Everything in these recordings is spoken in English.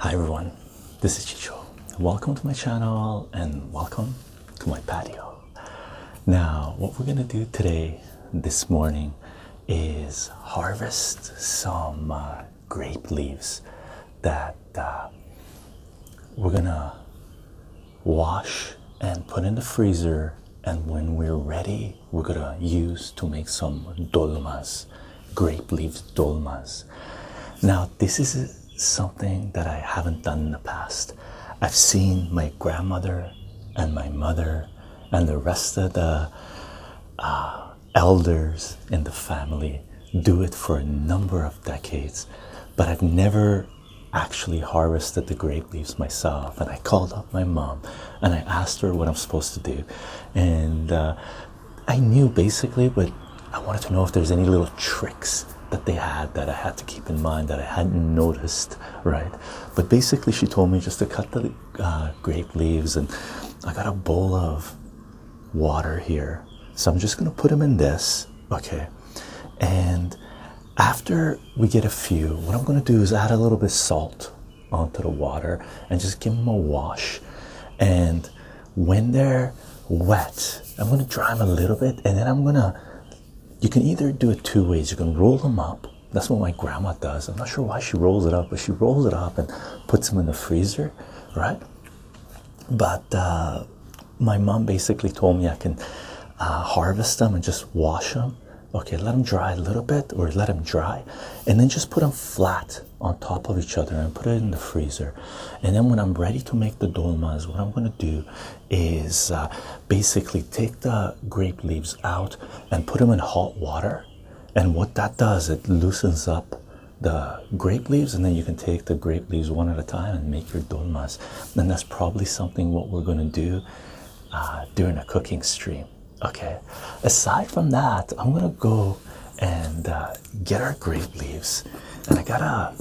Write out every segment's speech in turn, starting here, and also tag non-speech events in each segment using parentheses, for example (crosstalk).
Hi everyone, this is Chicho. Welcome to my channel and welcome to my patio. Now, what we're gonna do today, this morning, is harvest some uh, grape leaves that uh, we're gonna wash and put in the freezer, and when we're ready, we're gonna use to make some dolmas, grape leaves dolmas. Now, this is something that I haven't done in the past. I've seen my grandmother and my mother and the rest of the uh, elders in the family do it for a number of decades, but I've never actually harvested the grape leaves myself. And I called up my mom and I asked her what I'm supposed to do. And uh, I knew basically, but I wanted to know if there's any little tricks that they had that I had to keep in mind that I hadn't noticed, right? But basically, she told me just to cut the uh, grape leaves, and I got a bowl of water here. So I'm just going to put them in this, okay? And after we get a few, what I'm going to do is add a little bit of salt onto the water and just give them a wash. And when they're wet, I'm going to dry them a little bit and then I'm going to. You can either do it two ways. You can roll them up. That's what my grandma does. I'm not sure why she rolls it up, but she rolls it up and puts them in the freezer, right? but uh, my mom basically told me I can uh, harvest them and just wash them. Okay, let them dry a little bit, or let them dry, and then just put them flat on top of each other and put it in the freezer. And then when I'm ready to make the dolmas, what I'm going to do is uh, basically take the grape leaves out and put them in hot water. And what that does, it loosens up the grape leaves and then you can take the grape leaves one at a time and make your dolmas and that's probably something what we're going to do uh, during a cooking stream okay aside from that i'm going to go and uh, get our grape leaves and i gotta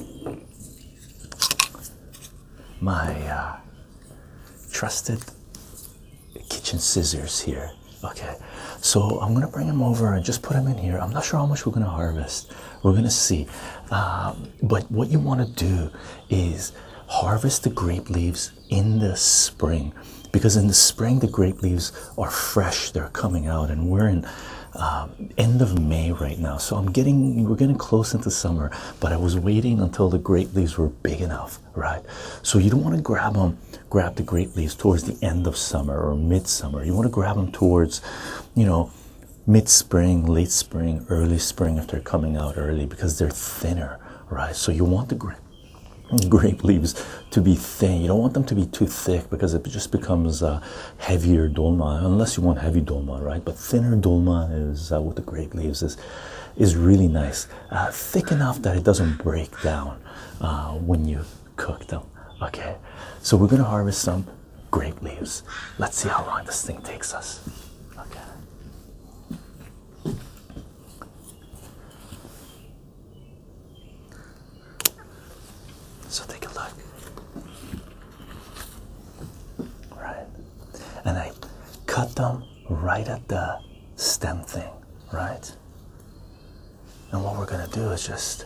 my uh, trusted kitchen scissors here okay so I'm gonna bring them over and just put them in here. I'm not sure how much we're gonna harvest. We're gonna see. Um, but what you want to do is harvest the grape leaves in the spring, because in the spring the grape leaves are fresh. They're coming out, and we're in um, end of May right now. So I'm getting we're getting close into summer. But I was waiting until the grape leaves were big enough, right? So you don't want to grab them, grab the grape leaves towards the end of summer or midsummer. You want to grab them towards, you know, mid spring, late spring, early spring if they're coming out early because they're thinner, right? So you want the grape leaves to be thin. You don't want them to be too thick because it just becomes heavier dolma, unless you want heavy dolma, right? But thinner dolma is uh, with the grape leaves is is really nice, uh, thick enough that it doesn't break down uh, when you cook them. Okay, so we're gonna harvest some grape leaves. Let's see how long this thing takes us. Okay. So take a look. Right. And I cut them right at the stem thing, right? And what we're going to do is just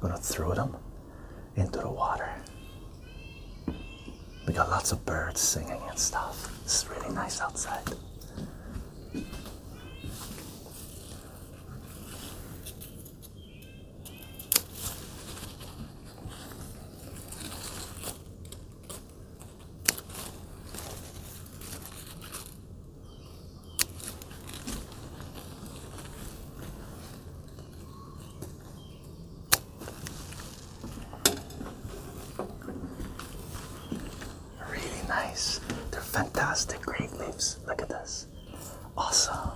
going to throw them into the water. We got lots of birds singing and stuff. It's really nice outside. Really nice. They're fantastic grape leaves. Look at this. Awesome.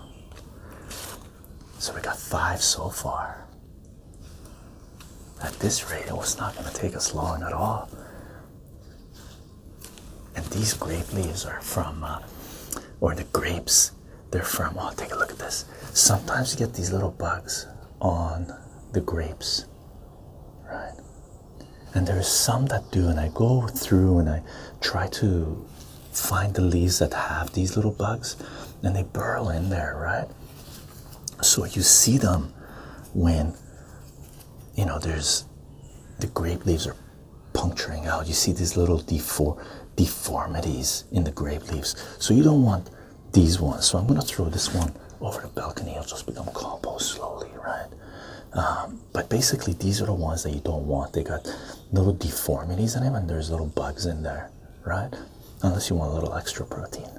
So we got five so far. At this rate, it was not going to take us long at all and these grape leaves are from, uh, or the grapes, they're from. Oh, take a look at this. Sometimes you get these little bugs on the grapes, right? And there's some that do, and I go through and I try to find the leaves that have these little bugs, and they burrow in there, right? So you see them when you know there's the grape leaves are puncturing out. You see these little deformities in the grape leaves. So you don't want these ones. So I'm going to throw this one over the balcony. It'll just become compost slowly, right? Um, but basically, these are the ones that you don't want. They got little deformities in them, and there's little bugs in there, right? Unless you want a little extra protein. (laughs)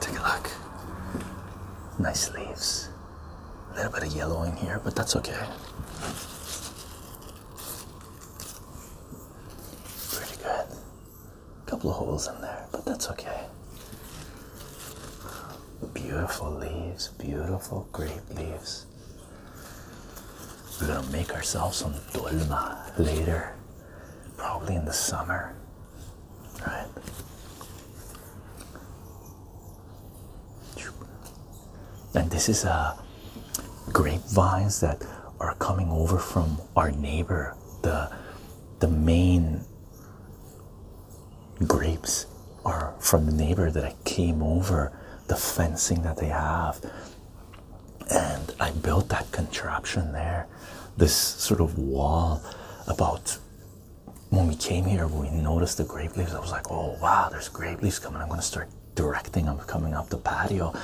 Take a look. Nice leaves. A little bit of yellowing here, but that's okay. Pretty good. A couple of holes in there, but that's okay. Beautiful leaves, beautiful grape leaves. We're gonna make ourselves some dolma later, probably in the summer, right? And this is uh, grapevines that are coming over from our neighbor, the the main grapes are from the neighbor that came over the fencing that they have and i built that contraption there this sort of wall about when we came here, we noticed the grape leaves. I was like, oh wow, there's grape leaves coming. I'm gonna start directing I'm coming up the patio.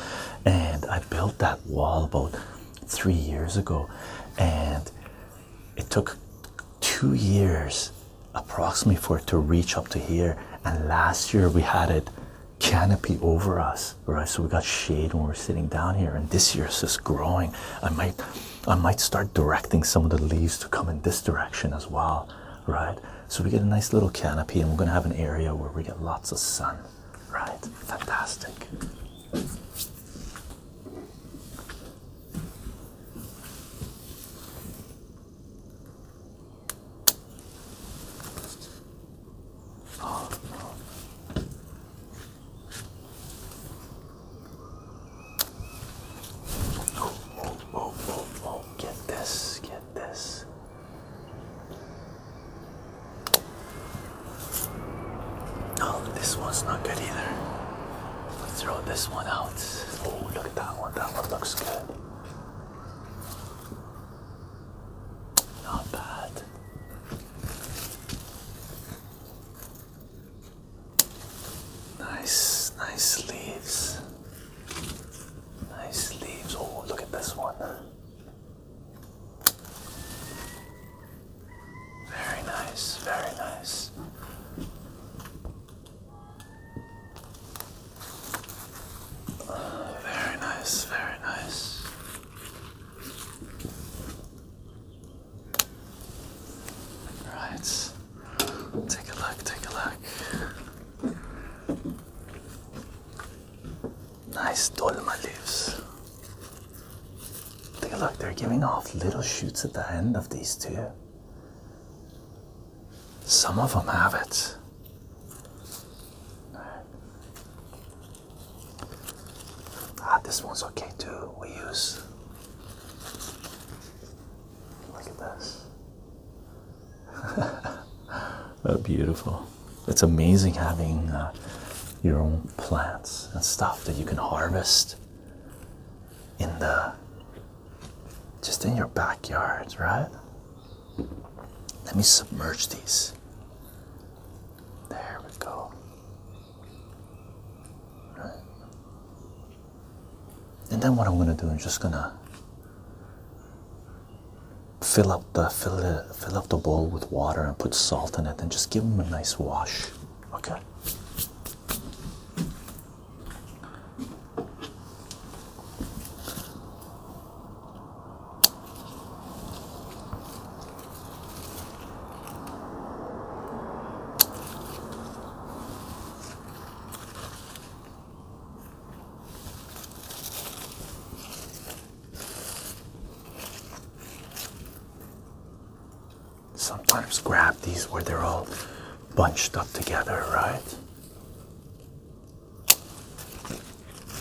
And I built that wall about three years ago, and it took two years approximately for it to reach up to here. And last year we had it canopy over us, right? So we got shade when we we're sitting down here, and this year it's just growing. I might I might start directing some of the leaves to come in this direction as well, right? So we get a nice little canopy, and we're going to have an area where we get lots of sun, right? Fantastic. Oh, oh, oh, oh, oh, get this, get this. No, this one's not good either. Let's throw this one out. Oh, look at that one. That one looks good. Not bad. Nice, nice leaves. Nice leaves. Oh, look at this one. Very nice, very nice. very nice, very nice. Right. Take a look, take a look. Nice dolma leaves. Take a look, they're giving off little shoots at the end of these two. Some of them have it. Ah, this one's okay too. We use Look at this. (laughs) oh, beautiful. It's amazing having uh, your own plants and stuff that you can harvest in the just in your backyard, right? Let me submerge these. There we go. And then what I'm gonna do, I'm just gonna fill up the fill the fill up the bowl with water and put salt in it and just give them a nice wash. Okay. Sometimes grab these where they're all bunched up together, right?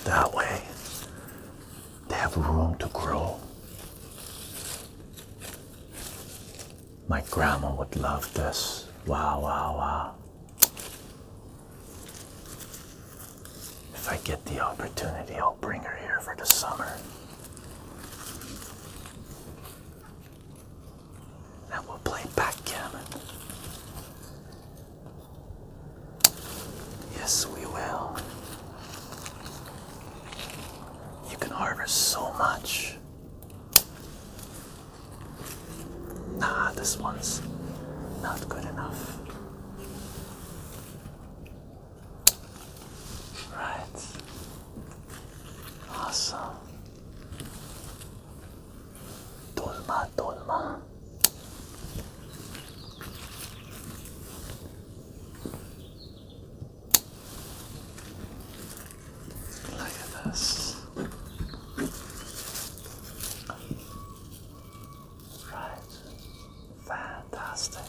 That way they have room to grow. My grandma would love this. Wow, wow, wow. If I get the opportunity, I'll bring her here for the summer. And we'll play backgammon. Yes, we will. You can harvest so much. Nah, this one's not good enough. Right. Awesome. Dolma, dolma. Look at this. Right. Fantastic.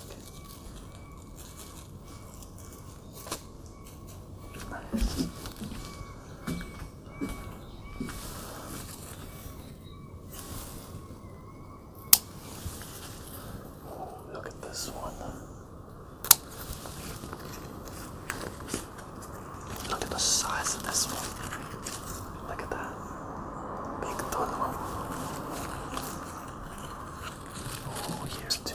look at this one. Look at the size of this one. Look at that. Big tunnel. Oh, here's two.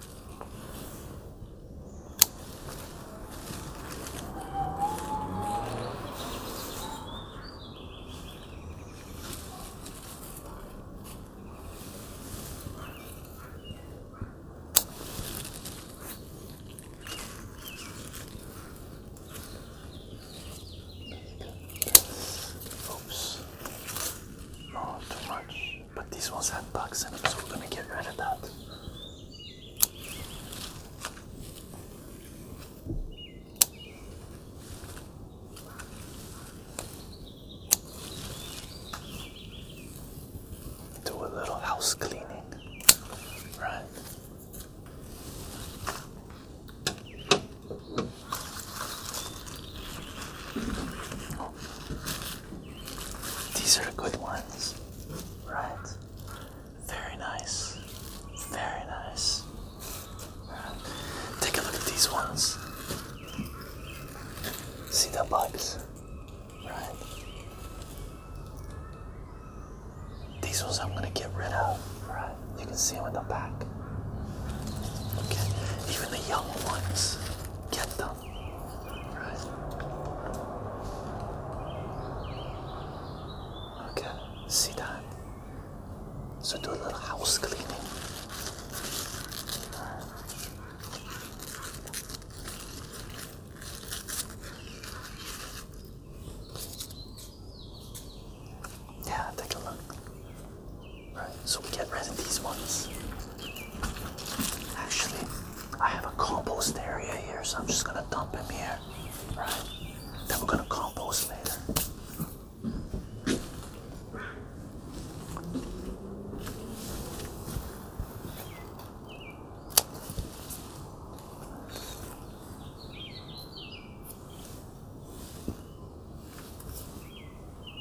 Oops, not too much. But these ones have bugs and them, so we're gonna get rid of that. Do a little house cleaning, right? these are good ones, right? Very nice, very nice. Take a look at these ones. See the bugs, right? These ones I'm gonna get rid of, right? You can see them in the back. Okay, even the young ones, get them. Okay, see that? So do a little house cleaning. Yeah, take a look. Right, so we get rid of these ones. Actually, I have a compost area here, so I'm just gonna dump him here. Right? Then we're gonna compost later.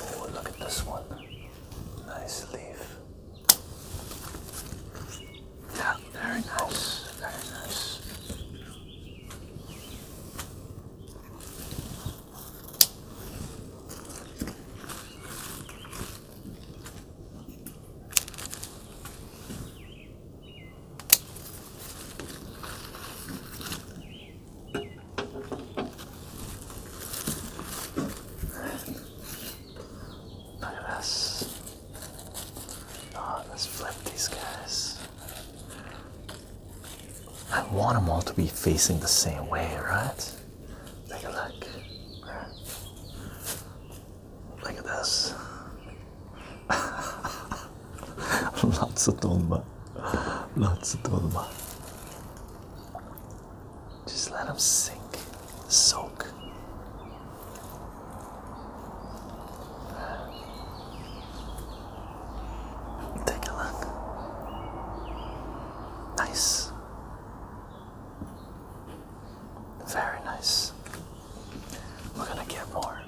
Oh, look at this one. Nice leaf. Yeah, very nice. Very nice. Look at us. Oh, let's flip these guys. I want them all to be facing the same way, right? Take a look. Look at this. Lots of Dumba. Lots of Dumba. Just let them sink, soak. Take a look. Nice. Very nice. We're gonna get more.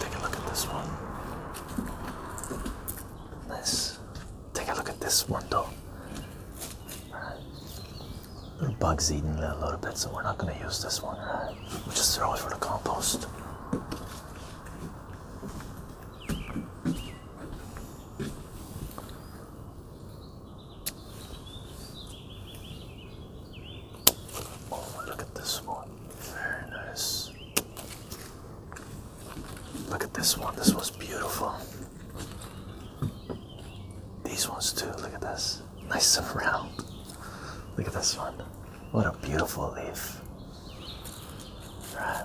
Take a look at this one. Let's take a look at this one though. Right. Bugs eating a little bit, so we're not gonna use this one. We'll just throw it for the compost. Oh, look at this one. Very nice. Look at this one. This was beautiful. These ones too. Look at this. Nice and round. Look at this one. What a beautiful leaf. Right.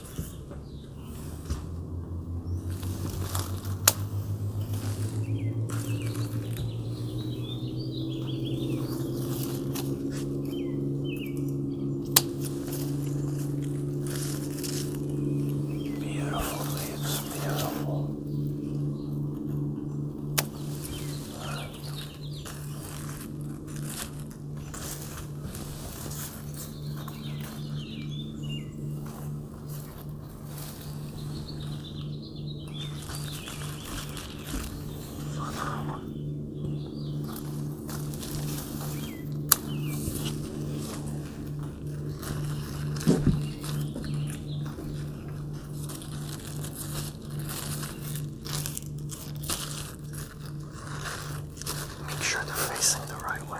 Beautiful leaves, beautiful. Right. Make sure they're facing the right way.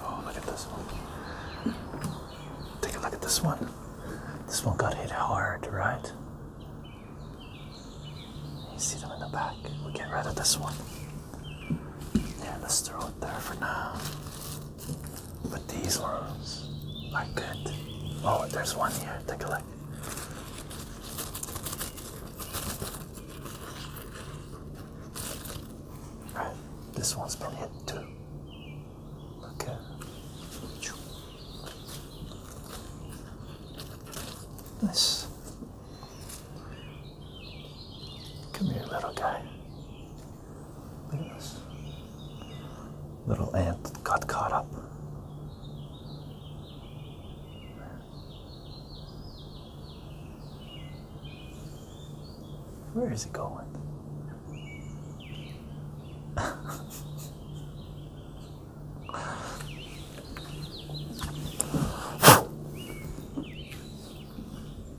Oh, look at this one. Take a look at this one. This one got hit hard, right? You see them in the back. We'll get rid of this one. Yeah, let's throw it there for now. But these ones are good. Oh, there's one here. Take a look. Alright, this one's been hit too. Okay. Nice. Come here, little guy. Look at this. Little ant got caught up. Where is it going? (laughs)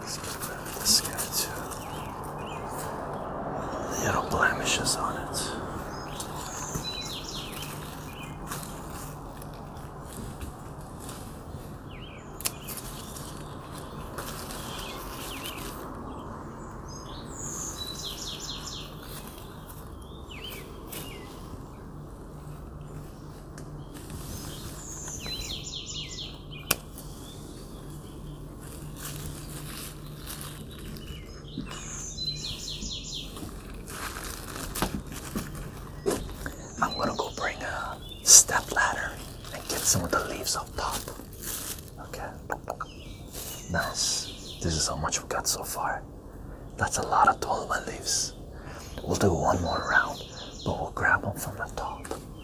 Let's get rid of this guy too. Little blemishes on it. I'm gonna go bring a step ladder and get some of the leaves up top. Okay, nice. This is how much we got so far. That's a lot of 12 leaves. We'll do one more round, but we'll grab them from the top.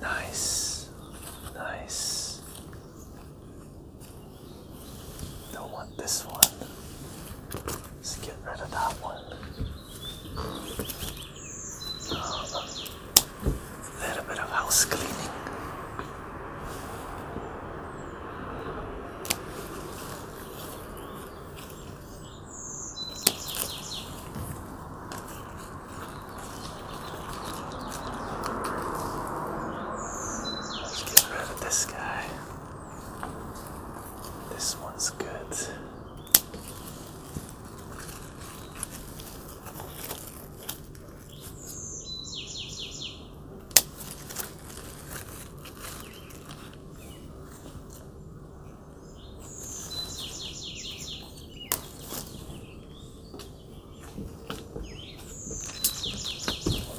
Nice, nice. Don't want this one. Let's get rid of that one. a little bit of house cleaning. Let's get rid of this guy. This one's good.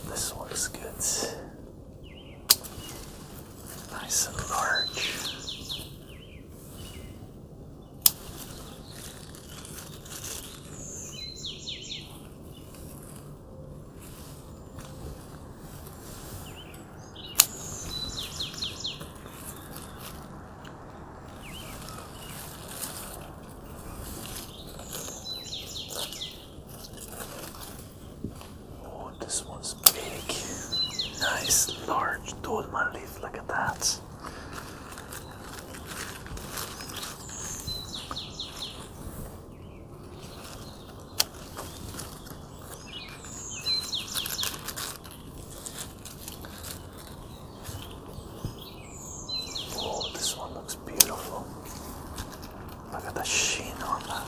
This one's good. Nice and large. Oh, this one's big. Nice large Doodman leaf, look at that. Oh, this one looks beautiful. Look at the sheen on that.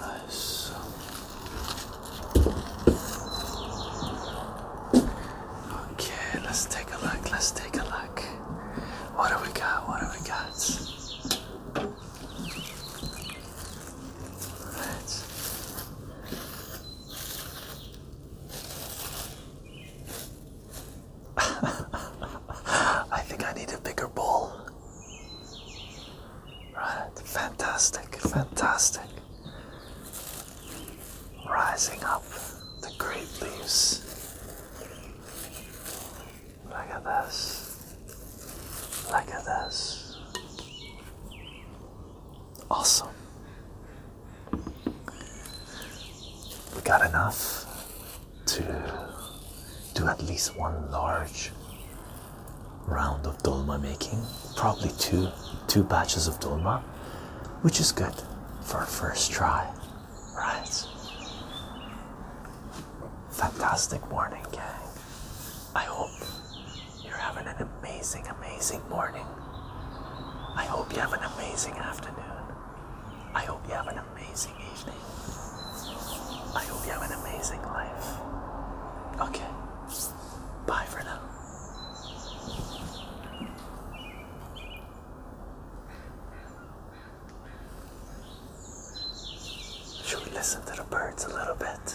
Nice. Okay, let's take a look. Let's take a look. What do we got? What do we got? All right. (laughs) I think I need a bigger bowl. Right, fantastic, fantastic. Rising up the grape leaves. Look at this. Look at this. Awesome. We got enough to do at least one large round of dolma making, probably two two batches of dolma, which is good for a first try, right? Fantastic morning, gang. I hope you're having an amazing, amazing morning. I hope you have an amazing afternoon. I hope you have an amazing evening. I hope you have an amazing life. Okay. Bye for now. Should we listen to the birds a little bit?